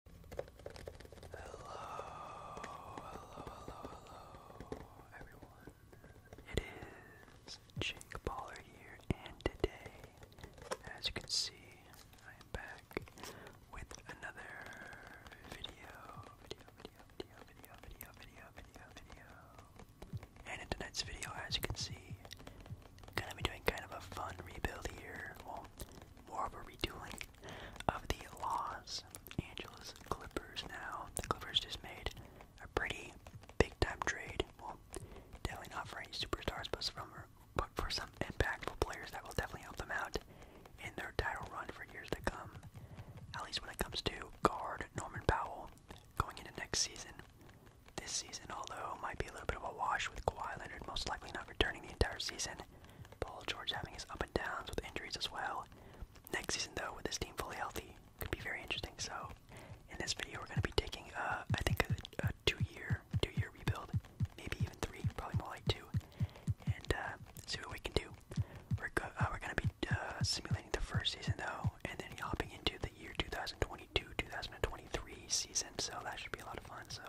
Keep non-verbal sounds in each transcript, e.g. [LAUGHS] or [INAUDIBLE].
Hello, hello, hello, hello, everyone. It is Jake Baller here, and today, as you can see, I am back with another video, video, video, video, video, video, video, video, video. And in tonight's video, as you can see, I'm gonna be doing kind of a fun rebuild here. Well, more of a redoing of the Los Angeles Clippers now. The Clippers just made a pretty big time trade. Well, definitely not for any superstars, but for some impactful players that will definitely help them out in their title run for years to come. At least when it comes to guard Norman Powell going into next season. This season, although might be a little bit of a wash with Kawhi Leonard most likely not returning the entire season, Paul George having his up and downs with injuries as well. Next season, though, with this team fully healthy, could be very interesting. So, in this video, we're going to be taking, uh, I think, a, a two-year, two-year rebuild, maybe even three, probably more like two, and uh, see what we can do. We're go uh, we're going to be uh, simulating the first season though, and then hopping into the year 2022-2023 season. So that should be a lot of fun. So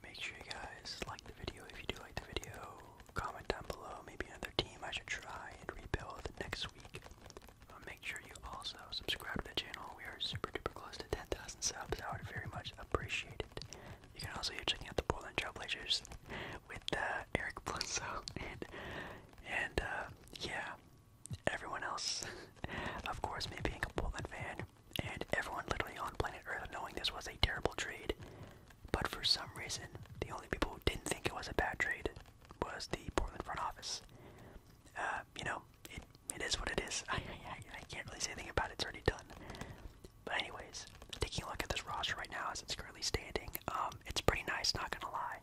Make sure you guys like the video if you do like the video. Comment down below maybe another team I should try and rebuild next week. Uh, make sure you also subscribe to the channel. We are super duper close to 10,000 subs. I would very much appreciate it. You can also be checking out the Portland Trailblazers with uh, Eric Bledsoe and, and uh, yeah, everyone else. [LAUGHS] of course, me being a Portland fan, and everyone literally on planet Earth knowing this was a terrible trade, but for some reason, the only people who didn't think it was a bad trade was the Portland front office. Uh, you know, it, it is what it is. [LAUGHS] I, can't really say anything about it, it's already done. But anyways, taking a look at this roster right now as it's currently standing, um, it's pretty nice, not gonna lie.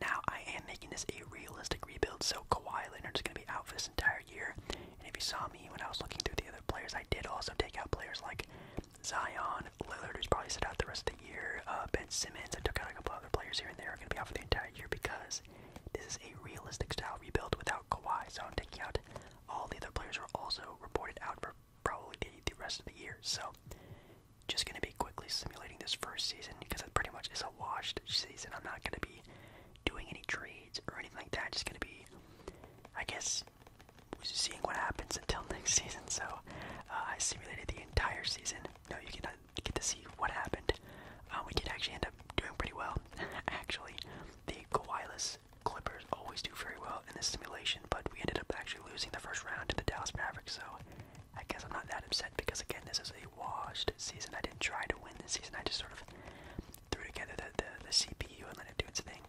Now, I am making this a realistic rebuild, so Kawhi Leonard is gonna be out for this entire year. And if you saw me when I was looking through the other players, I did also take out players like Zion, Lillard, who's probably sit out the rest of the year, uh, Ben Simmons. I took out a couple other players here and there. Are going to be off for the entire year because this is a realistic style rebuild without Kawhi. So I'm taking out all the other players who are also reported out for probably the rest of the year. So just going to be quickly simulating this first season because it pretty much is a washed season. I'm not going to be doing any trades or anything like that. Just gonna be, I guess, seeing what happens until [LAUGHS] next season. So uh, I simulated the entire season. No, you get you get to see what happened. Uh, we did actually end up doing pretty well. [LAUGHS] actually, the Kawhiless Clippers always do very well in this simulation, but we ended up actually losing the first round to the Dallas Mavericks. So I guess I'm not that upset because again, this is a washed season. I didn't try to win this season. I just sort of threw together the, the, the CPU and let it do its thing.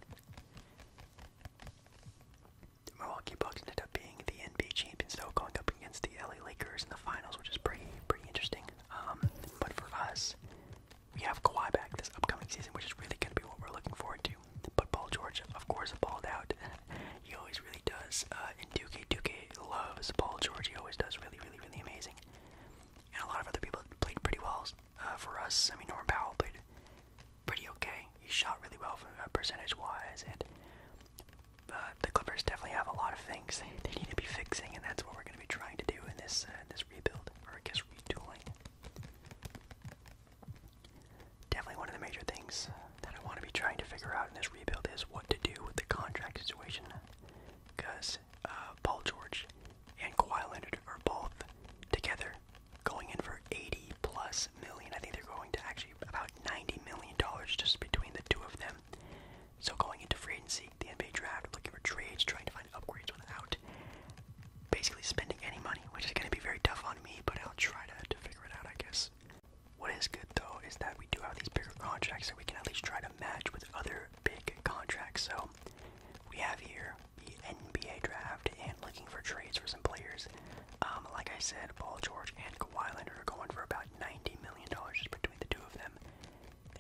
Milwaukee Bucks ended up being the NBA champions, though, going up against the LA Lakers in the finals, which is pretty pretty interesting. Um, but for us, we have Kawhi back this upcoming season, which is really going to be what we're looking forward to. But Paul George, of course, balled out. [LAUGHS] he always really does. Uh, and Duque, Duque loves Paul George. He always does really, really, really amazing and a lot of other people played pretty well uh, for us. I mean, Norman Powell played pretty okay. He shot really well from uh, percentage-wise, and uh, the Clippers definitely have a lot of things they, [LAUGHS] they need to be fixing, and that's what we're going to be trying to do in this uh, this rebuild, or I guess retooling. Definitely one of the major things that I want to be trying to figure out in this rebuild is what to do with the contract situation, because uh, Paul George and Kawhi Leonard are both together going in for 80 plus million. I think they're going to actually about 90 million dollars just between the two of them. So going into free agency, the NBA draft, looking for trades, trying to find upgrades without basically spending any money, which is going to be very tough on me, but I'll try to, to figure it out, I guess. What is good though is that we do have these bigger contracts that we can at least try to match with other big contracts. So we have here the NBA draft and looking for trades for some players. Um, like I said, Paul George and Kawhi Leonard are going for about $90 million just between the two of them.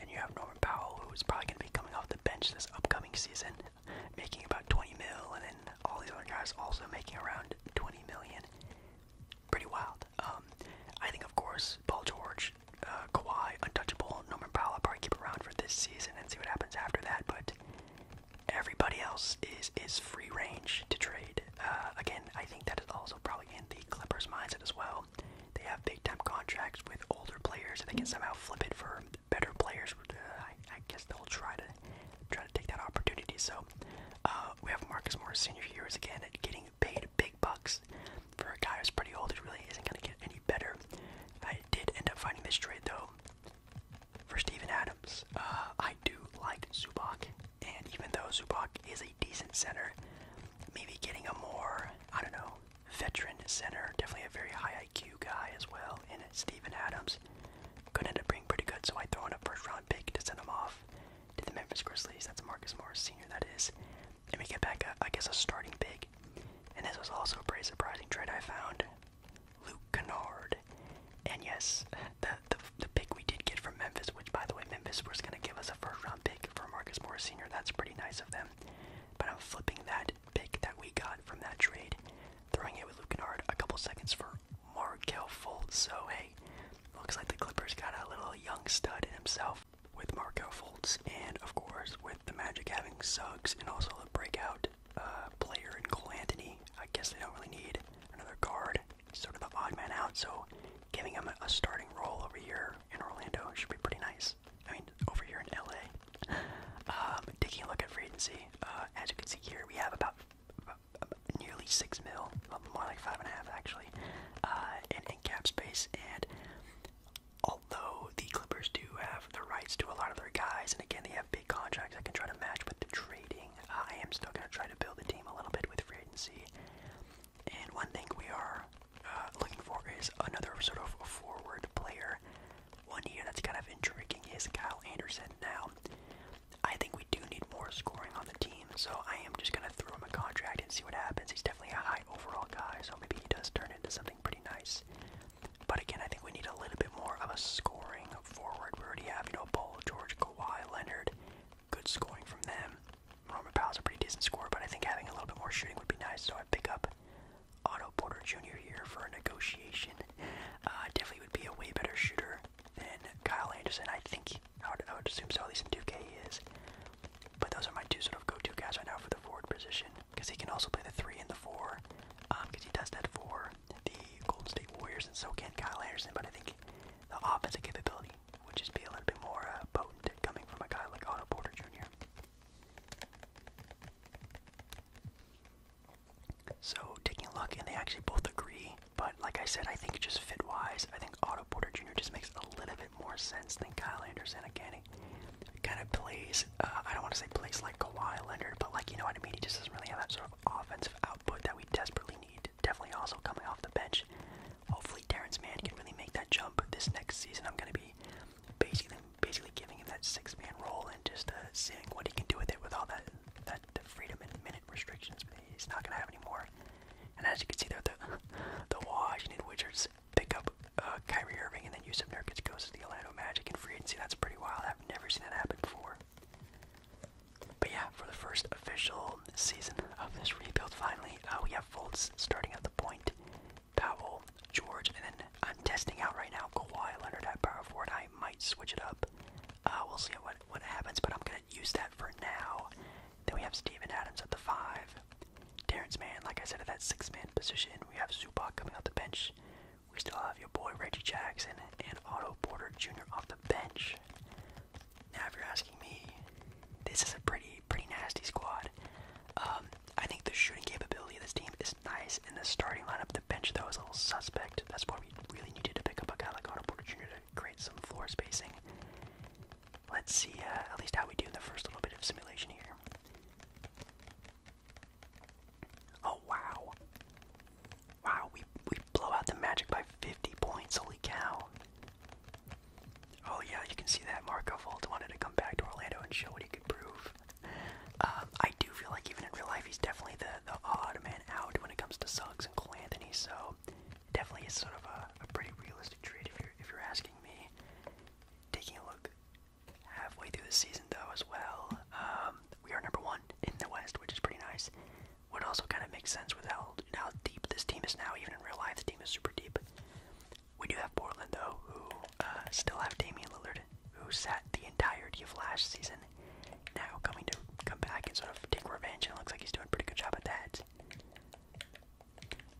And you have Norman Powell, who's probably going to be coming off the bench this upcoming season, [LAUGHS] making about 20 mil, and then all these other guys also making around 20 million. Pretty wild. Um, I think, of course, Paul George uh, Kawhi untouchable. Norman Powell, I'll probably keep around for this season and see what happens after that. But everybody else is is free range to trade. Uh, again, I think that is also probably in the Clippers' mindset as well. They have big time contracts with older players, and they can somehow flip it for better players. Uh, I, I guess they'll try to try to take that opportunity. So uh, we have Marcus Morris Senior here is again getting paid big bucks for a guy who's pretty old. It really isn't going to get any better. I did end up finding this trade though for Steven Adams. Uh, I do like Zubac, and even though Zubac is a decent center, maybe getting a more I don't know veteran center, definitely a very high IQ guy as well. And Steven Adams could end up being pretty good, so I throw in a first round pick to send him off to the Memphis Grizzlies. That's Marcus Morris Senior. That is. And we get back, a, I guess, a starting pick, And this was also a pretty surprising trade I found. Luke Kennard. And yes, [LAUGHS] the, the, the pick we did get from Memphis, which, by the way, Memphis was going to give us a first round pick for Marcus Morris Sr. That's pretty nice of them. But I'm flipping that pick that we got from that trade, throwing it with Luke Kennard a couple seconds for Markel Fultz. So, hey, looks like the Clippers got a little young stud in himself with Markel Fultz, and of course with the Magic having Suggs and also the breakout uh, player in Cole Anthony. I guess they don't really need another guard, sort of the odd man out. So giving him a, starting role over here in Orlando should be pretty nice. I mean, over here in LA. [LAUGHS] Um, taking a look at free agency, uh, as you can see here, we have about, nearly six mil, more like five and a half actually, uh, in cap space, and although the Clippers do have the rights to a lot of their guys, and again they have big contracts that can try to match with the trading, uh, I am still going to try to build the team a little bit with free agency. And one thing we are uh, looking for is another sort of forward player. One year that's kind of intriguing is Kyle Anderson. Now, I think we do need more scoring on the team so I am just gonna throw him a contract and see what happens. He's definitely a high overall guy, so maybe he does turn into something pretty nice. But again, I think we need a little bit more of a scoring forward. We already have, you know, Paul George, Kawhi, Leonard, good scoring from them. Roman is a pretty decent scorer, but I think having a little bit more shooting would be nice, so I pick up Otto Porter Jr. here for a negotiation. Uh, definitely would be a way better shooter than Kyle Anderson. I think, I would assume so, at least in 2K he is. But those are my two sort of go-to guys right now for the forward position, because he can also play the three and the four, because um, he does that for the Golden State Warriors, and so can Kyle Anderson. But I think the offensive capability would just be a little bit more uh, potent coming from a guy like Otto Porter Jr. So taking a look, and they actually both agree. But like I said, I think just fit-wise, I think Otto Porter Jr. just makes a little bit bit more sense than Kyle Anderson. Again, he kind of plays, uh, I don't want to say plays like Kawhi Leonard, but like, you know what I mean? He just doesn't really have that sort of offensive output that we desperately need. Definitely also coming off the bench. Hopefully, Terrence Mann can really make that jump this next season. I'm going to be basically basically giving him that six man role and just uh, seeing what he can do with it with all that, that the freedom and minute restrictions. He's not going to have any more and as you can see there, the the Washington Wizards pick up uh, Kyrie Irving, and then use Yusuf Nurkic goes to the Atlanta Magic in free agency. That's pretty wild. I've never seen that happen before. But yeah, for the first official season of this rebuild, finally, uh, we have Fultz starting at the point, Powell, George, and then I'm testing out right now Kawhi Leonard at power forward. I might switch it up. Uh, we'll see what what happens, but I'm gonna use that for now. Then we have Steven Adams at the five. Terrence Mann, like I said, at that six man position. We have Zubac coming off the bench. We still have your boy Reggie Jackson and Otto Porter Jr. off the bench. Now, if you're asking me, this is a pretty, pretty nasty squad. Um, I think the shooting capability of this team is nice and the starting lineup. The bench, though, is a little suspect. That's why we really needed to pick up a guy like Otto Porter Jr. to create some floor spacing. Let's see uh, at least how we do the first little bit of simulation here. Oh wow. Wow, we we blow out the magic by 50 points, holy cow. Oh yeah, you can see that Marco Volt wanted to come back to Orlando and show what he could prove. Um, I do feel like even in real life he's definitely the, the odd man out when it comes to Suggs and Cole Anthony, so so definitely it's sort of a, a pretty realistic trade if you're if you're asking me. Taking a look halfway through the season though as well, um, we are number one in the West, which is pretty nice. Would also kind of make sense with how how deep this team is now. Even in real life, the team is super deep. We do have Portland though, who uh, still have Damian Lillard, who sat the entirety of last season. Now coming to come back and sort of take revenge, and it looks like he's doing a pretty good job at that.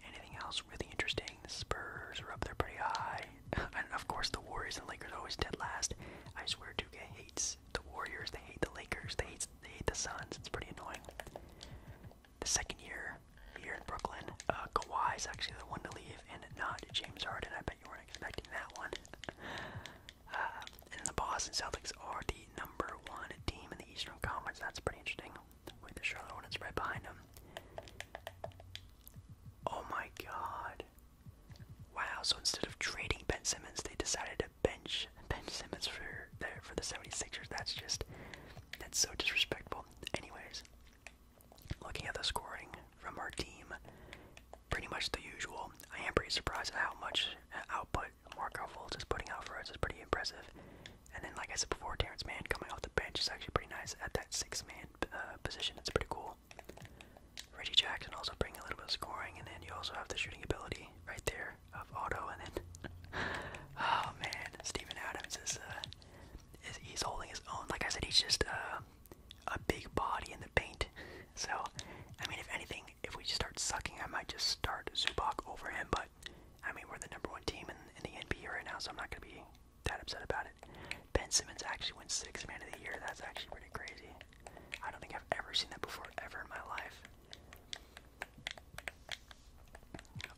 Anything else really interesting? The Spurs are up there pretty high. [LAUGHS] and of course, the Warriors and Lakers always dead last. I swear 2K hates the Warriors, they hate the Lakers, they hate, the Suns. It's pretty annoying. The second year here in Brooklyn, uh, Kawhi is actually the one to leave, and not James Harden. I bet you weren't expecting that one. [LAUGHS] Uh, and the Boston Celtics are the number one team in the Eastern Conference. That's pretty interesting. With the Charlotte Hornets right behind them. Oh my god. Wow, so instead of trading Ben Simmons, they decided to bench Ben Simmons for the, for the 76ers. That's just, that's so disrespectful. Anyways, looking at the scoring from our team, pretty much the usual. I am pretty surprised at how much output Marco Fultz is putting out for us is pretty impressive. And then, like I said before, Terrence Mann coming off the bench is actually pretty nice at that six-man uh, position. It's pretty cool. Reggie Jackson also bringing a little bit of scoring, and then you also have the shooting ability right there of Auto. And then, [LAUGHS] oh man, Steven Adams is uh, is he's holding his own. Like I said, he's just uh, a big body in the paint. So, I mean, if anything, if we start sucking, I might just start Zubac over him, but I mean, we're the number one team in, the NBA right now, so I'm not going to be that upset about it. Ben Simmons actually went sixth man of the year. That's actually pretty crazy. I don't think I've ever seen that before, ever in my life.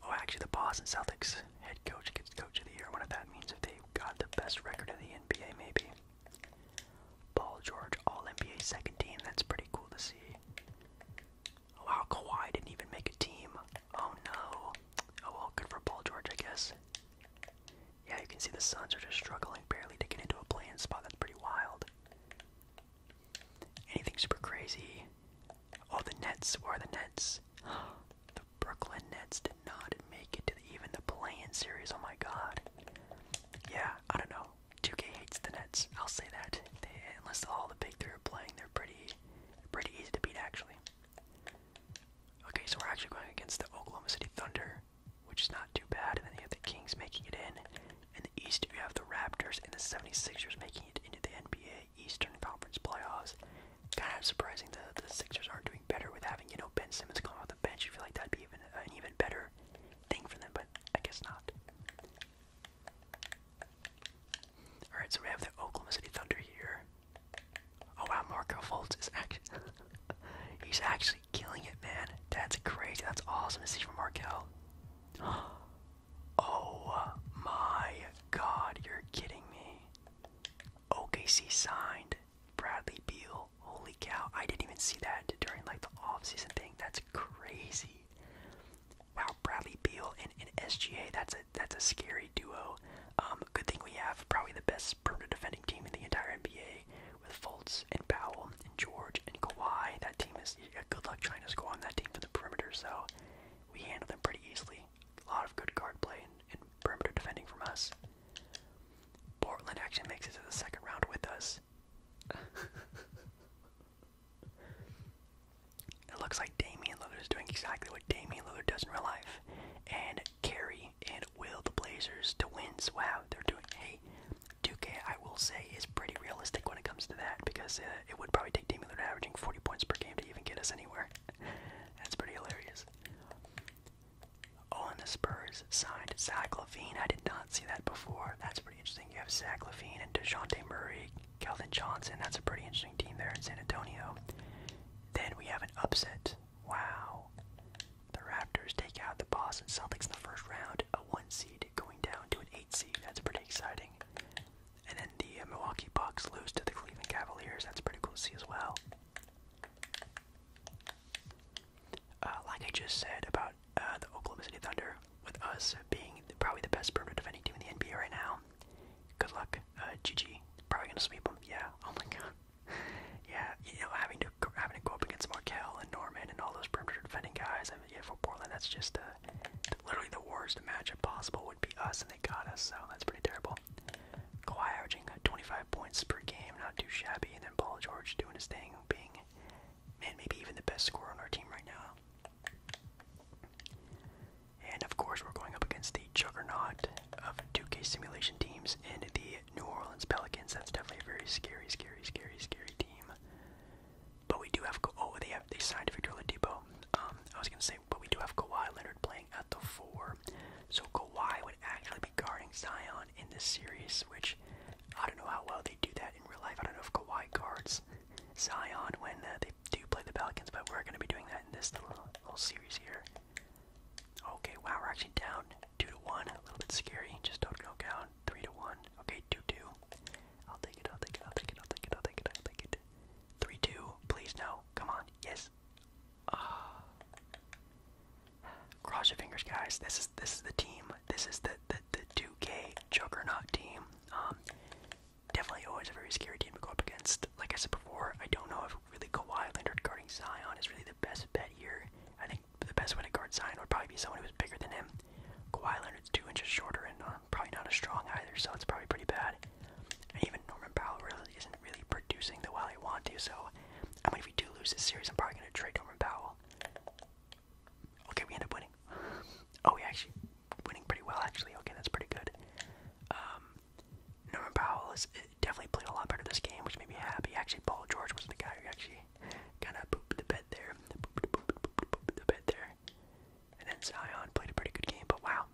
Oh, actually, the Boston Celtics head coach gets coach of the year. I wonder if that means if they got the best record in the NBA, maybe. Paul George, All NBA second team. That's pretty cool to see. Wow, oh, Kawhi didn't even make a team. Oh no. Oh well, good for Paul George, I guess. Yeah, you can see the Suns are just struggling barely to get into a playing spot. That's pretty wild. Anything super crazy? Oh, the Nets. or the Nets? [GASPS] the Brooklyn Nets did not make it to even the playing series. Oh my god. Yeah, I don't know. 2K hates the Nets. I'll say that. unless all the big three are playing, they're pretty, pretty easy to beat actually. Okay, so we're actually going against the Oklahoma City Thunder, which is not too bad. And then you have the Kings making it in. In the East, you have the Raptors and the 76ers making it into the NBA Eastern Conference playoffs. Kind of surprising that the Sixers are not doing better with having you know Ben Simmons coming off the bench. You feel like that'd be even even better thing for them, but I guess not. Alright, so we have the Oklahoma City Thunder here. Oh wow, Marco Fultz is actually [LAUGHS] he's actually killing it, man. That's crazy. That's awesome to see from Markel. [GASPS] Oh my god, you're kidding me. OKC signed Bradley Beal holy cow, I didn't even see that during like the off-season thing. That's crazy. Wow, Bradley Beal and, and SGA, that's a that's a scary duo. Um, good thing we have probably the best perimeter defending team in the entire NBA with Fultz and Powell and George and Kawhi. That team is yeah, good luck trying to score on that team for the perimeter, so we handle them pretty easily. A lot of good guard play and perimeter defending from us. Portland actually makes it to the second round with us it looks like Damian Lillard is doing exactly what Damian Lillard does in real life, and carry and will the Blazers to wins. Wow, they're doing. Hey, Duke. I will say, is pretty realistic when it comes to that because uh, it would probably take Damian Lillard averaging 40 points per game to even get us anywhere. [LAUGHS] That's pretty hilarious. Oh, and the Spurs signed Zach Levine. I did not see that before. That's pretty interesting. You have Zach Levine and DeJounte Murray, Kelvin Johnson. That's a pretty interesting team there in San Antonio. Then we have an upset. Wow. The Raptors take out the Boston Celtics in the first round. A one seed going down to an eight seed. That's pretty exciting. And then the uh, Milwaukee Bucks lose to the Cleveland Cavaliers. That's pretty cool to see as well. Uh, like I just said about uh, the Oklahoma City Thunder, with us being probably the best perimeter defending team in the NBA right now. Good luck, uh, GG. Probably gonna sweep them. Yeah. Oh my god. [LAUGHS] yeah. You know, having to having to go up against Markel and Norman and all those perimeter defending guys. I mean, yeah, for Portland, that's just literally the worst matchup possible would be us, and they got us. So that's pretty terrible. Kawhi averaging uh, 25 points per game, not too shabby, and then Paul George doing his thing, being man, maybe even the best scorer on our team right now. And of course, we're going up against the juggernaut of 2K simulation teams and the New Orleans Pelicans. That's definitely a very scary, scary, scary, scary team. But we do have oh they have they signed Victor Oladipo. Um, I was gonna say, but we do have Kawhi Leonard playing at the four, so Kawhi would actually be guarding Zion in this series, which I don't know how well they do that in real life. I don't know if Kawhi guards Zion when uh, they do play the Pelicans, but we're going to be doing that in this little, little series here. Okay, wow, we're actually down two to one. A little bit scary. Just don't go down three to one. Okay, two two. I'll take it. I'll take it. I'll take it. I'll take it. I'll take it. I'll take it. Three two. Please no. Come on. Yes. Ah. Uh, Cross your fingers, guys. This is this is the team. This is the the, the 2K juggernaut team. Um, definitely always a very scary team to go up against. Like I said before, I don't know if really Kawhi Leonard guarding Zion is really the best bet here. I think the best way to guard Zion would probably be someone who's bigger than him. Kawhi Leonard's two inches shorter and uh, probably not as strong either, so it's probably pretty bad. And even Norman Powell really isn't really producing the way he want to. So, I mean, if we do lose this series, I'm probably gonna trade Norman Powell. Okay, we end up winning. oh, we actually winning pretty well, actually. Okay, that's pretty good. Um, Norman Powell is, uh, definitely played a lot better this game, which made me happy. Actually, Paul George was the guy who actually kind of pooped the bed there. the bed there. And then Zion played a pretty good game, but wow.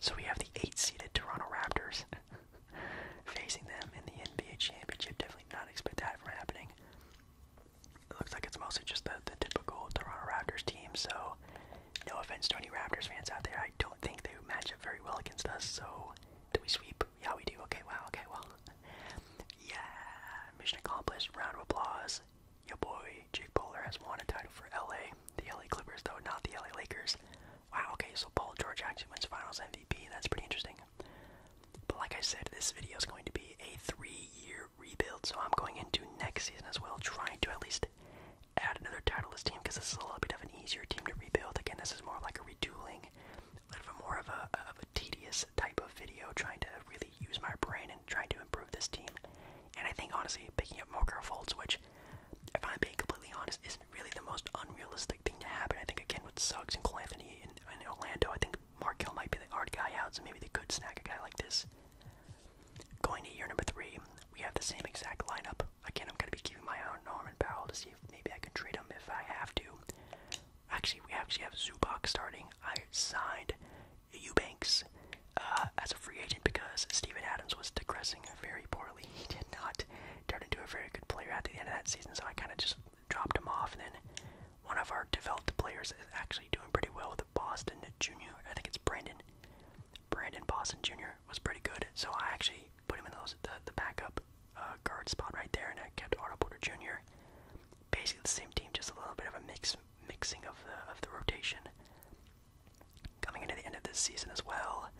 So we have the eight-seeded Toronto Raptors [LAUGHS] facing them in the NBA championship. Definitely not expect that from happening. It looks like it's mostly just the, the typical Toronto Raptors team, so no offense to any Raptors fans out there. I don't think they would match up very well against us, so do we sweep? Yeah, we do. Okay, wow, okay, well. Yeah, mission accomplished. Round of applause. Your boy, Jake Bowler, has won a title for LA. The LA Clippers, though, not the LA Lakers. Wow, okay, so Paul George actually wins finals MVP. That's pretty interesting. But like I said, this video is going to be a three-year rebuild, so I'm going into next season as well, trying to at least add another title to this team because this is a little bit of an easier team to rebuild. Again, this is more like a retooling, a little bit more of a tedious type of video, trying to really use my brain and trying to improve this team. And I think honestly, picking up more folds, which if I'm being completely honest, is is really the most unrealistic thing to happen. I think again with Suggs and Cole Anthony in, in Orlando, I think Markel might be the hard guy out, so maybe they could snag a guy like this. Going to year number three, we have the same exact lineup. Again, I'm gonna be keeping my eye on Norman Powell to see if maybe I can trade him if I have to. Actually, we actually have Zubac starting. I signed Eubanks uh, as a free agent because Steven Adams was digressing very poorly. He did not turn into a very good player at the end of that season, so I kind of just dropped him off. And then one of our developed players is actually doing pretty well with Boston Jr. I think it's Brandon. Brandon Boston Jr. was pretty good, so I actually put him in those the, the backup uh, guard spot right there, and I kept Otto Porter Jr. Basically the same team, just a little bit of a mix mixing of the of the rotation. Coming into the end of this season as well,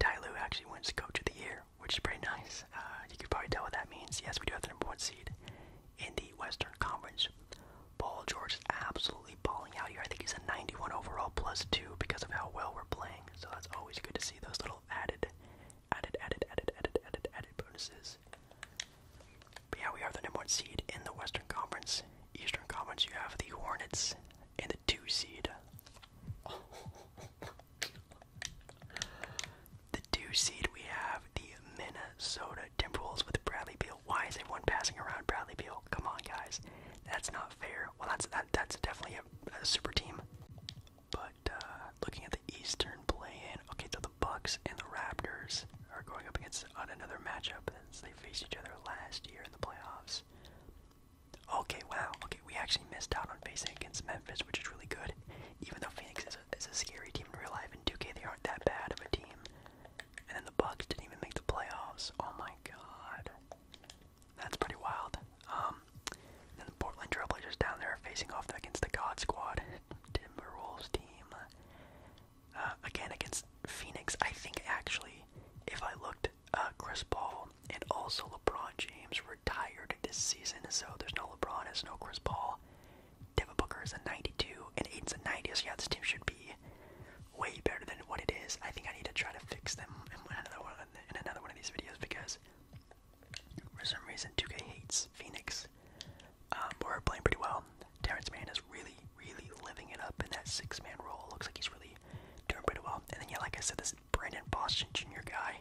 Tyloo actually wins Coach of the Year which is pretty nice. Uh, you could probably tell what that means. Yes, we do have the number one seed in the Western Conference. Paul George is absolutely balling out here. I think he's a 91 overall plus two because of how well we're playing. So that's always good to see those little added, added, added, added, added, added, added bonuses. But yeah, we are the number one seed in the Western Conference. Eastern Conference, you have the Hornets and the two seed. [LAUGHS] The two seed we have the Minnesota Timberwolves with Bradley Beal. Why is everyone passing around Bradley Beal? Come on, guys, that's not fair. Well, that's that's definitely a, super team. But uh, looking at the Eastern play-in, okay, so the Bucks and the Raptors are going up against another matchup since they faced each other last year in the playoffs. Okay, wow. Okay, we actually missed out on facing against Memphis, which is really good. Even though Phoenix is a, scary team in real life, in 2K they aren't that bad of a team. And then the Bucks didn't even make the playoffs. Oh my god. That's pretty wild. Um, then the Portland Trailblazers down there facing off against the God Squad, [LAUGHS] Timberwolves team. Uh, again, against Phoenix, I think actually, if I looked uh, Chris Paul and also LeBron James retired this season, so there's no LeBron, there's no Chris Paul. Devin Booker is a 92, and Aiden's a 90, so yeah, this team should be way better than what it is. I think I need to try to fix them in another one, in another one of these videos because for some reason 2K hates Phoenix. Um, but we're playing pretty well. Terrence Mann is really, really living it up in that six-man role. Looks like he's really doing pretty well. And then yeah, like I said, this Brandon Boston Jr. guy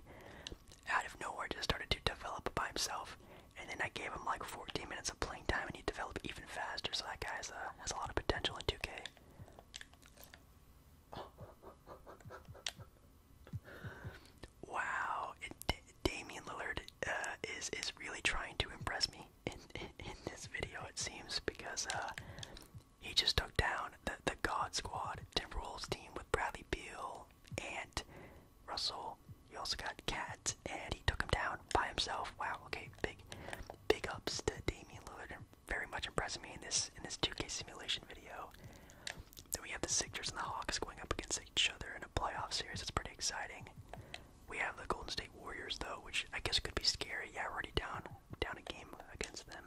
out of nowhere just started to develop by himself. And then I gave him like 14 minutes of playing time and he developed even faster. So that guy has, uh, has a lot of potential in 2K. wow. It, Damian Lillard uh, is, is really trying to impress me in, in, this video, it seems, because uh, he just took down the, the God Squad Timberwolves team with Bradley Beal and Russell. He also got Cat, and he took him down by himself. Wow. Okay. Big, big ups to Damian Lillard, very much impressing me in this in this 2K simulation video. Then we have the Sixers and the Hawks going up against each other in a playoff series. It's pretty exciting. We have the Golden State Warriors though, which I guess could be scary. Yeah, we're already down down a game against them.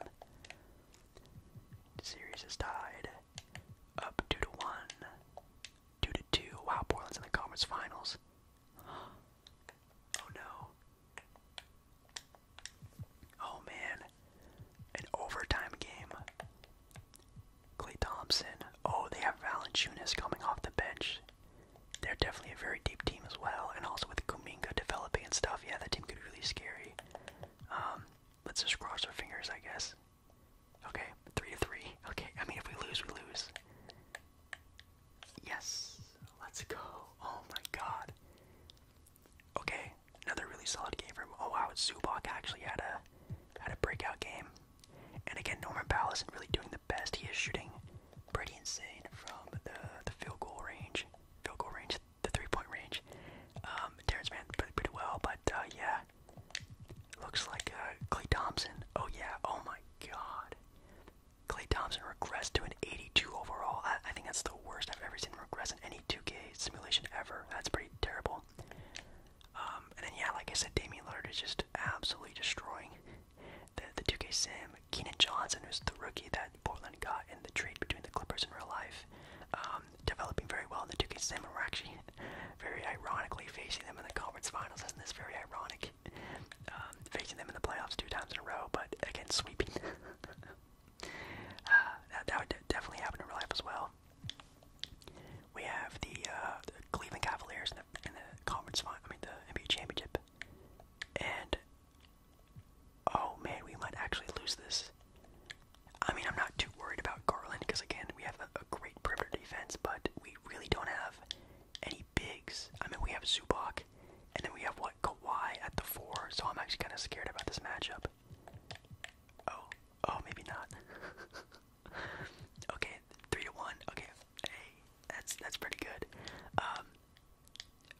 Series is tied. Up 2 to 1. 2 to 2. Wow, Portland's in the conference finals. Oh no. Oh man. An overtime game. Clay Thompson. Oh, they have Valanciunas coming off the bench. They're definitely a very deep team as well, and also with Kuminga good, developing and stuff, yeah, that team could really scary. Um, let's just cross our fingers, I guess. Okay, three to three. Okay, I mean, if we lose, we lose. Yes, let's go. Oh my God. Okay, another really solid game from. Oh wow, Zubac actually had a had a breakout game. And again, Norman Powell isn't really doing the best. He is shooting pretty insane from the the field goal range. Field goal range the three-point range. Um, Terrence Mann played pretty well, but uh, yeah, looks like uh, Clay Thompson. Oh yeah, oh my God, Clay Thompson regressed to an 82 overall. I, think that's the worst I've ever seen regress in any 2K simulation ever. That's pretty terrible. Um, and then yeah, like I said, Damian Lillard is just absolutely destroying the the 2K sim. Keenan Johnson, who's the rookie that Portland got in the trade between the Clippers in real life, um, developing very well in the 2K Sim. And we're actually [LAUGHS] very ironically facing them in the conference finals. Isn't this very ironic? Um, facing them in the playoffs two times in a row, but again sweeping. [LAUGHS] uh, that, would definitely happen in real life as well. We have the, uh, Cleveland Cavaliers in the, in the conference final, I mean the NBA championship, and Oh man, we might actually lose this. I mean, I'm not too worried about Garland because, again, we have a, great perimeter defense, but we really don't have any bigs. I mean, we have Zubac, and then we have, what, Kawhi at the four, so I'm actually kind of scared about this matchup. Oh, oh, maybe not. [LAUGHS] okay, three to one. Okay, hey, that's that's pretty good. Um,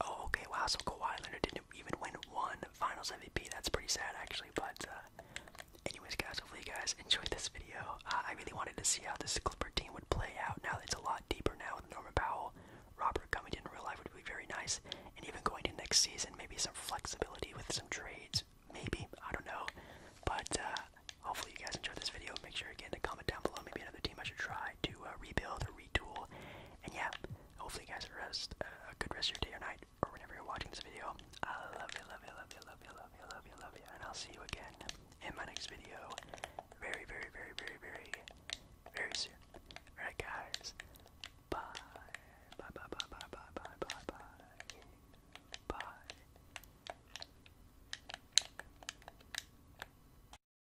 Oh, okay, wow, so Kawhi Leonard didn't even win one finals MVP. That's pretty sad, actually. But, uh, anyways, guys, hopefully you guys enjoyed this video. Uh, I really wanted to see how this Clipper team would play out now that it's a lot deeper now with Norman Powell. Robert coming in real life would be very nice. And even going to next season, maybe some flexibility with some trades. Maybe, I don't know. But, uh, hopefully you guys enjoyed this video. Make sure, again, to comment down below. Maybe another team I should try try to uh, rebuild or retool. And yeah, hopefully you guys are rest uh, a good rest of your day or night or whenever you're watching this video. I love you, love you, love you, love you, love you, love you, love you, and I'll see you again in my next video, very, very, very, very, very, very soon. All right, guys. Bye. Bye. Bye. Bye. Bye. Bye. Bye. Bye. Bye. Bye.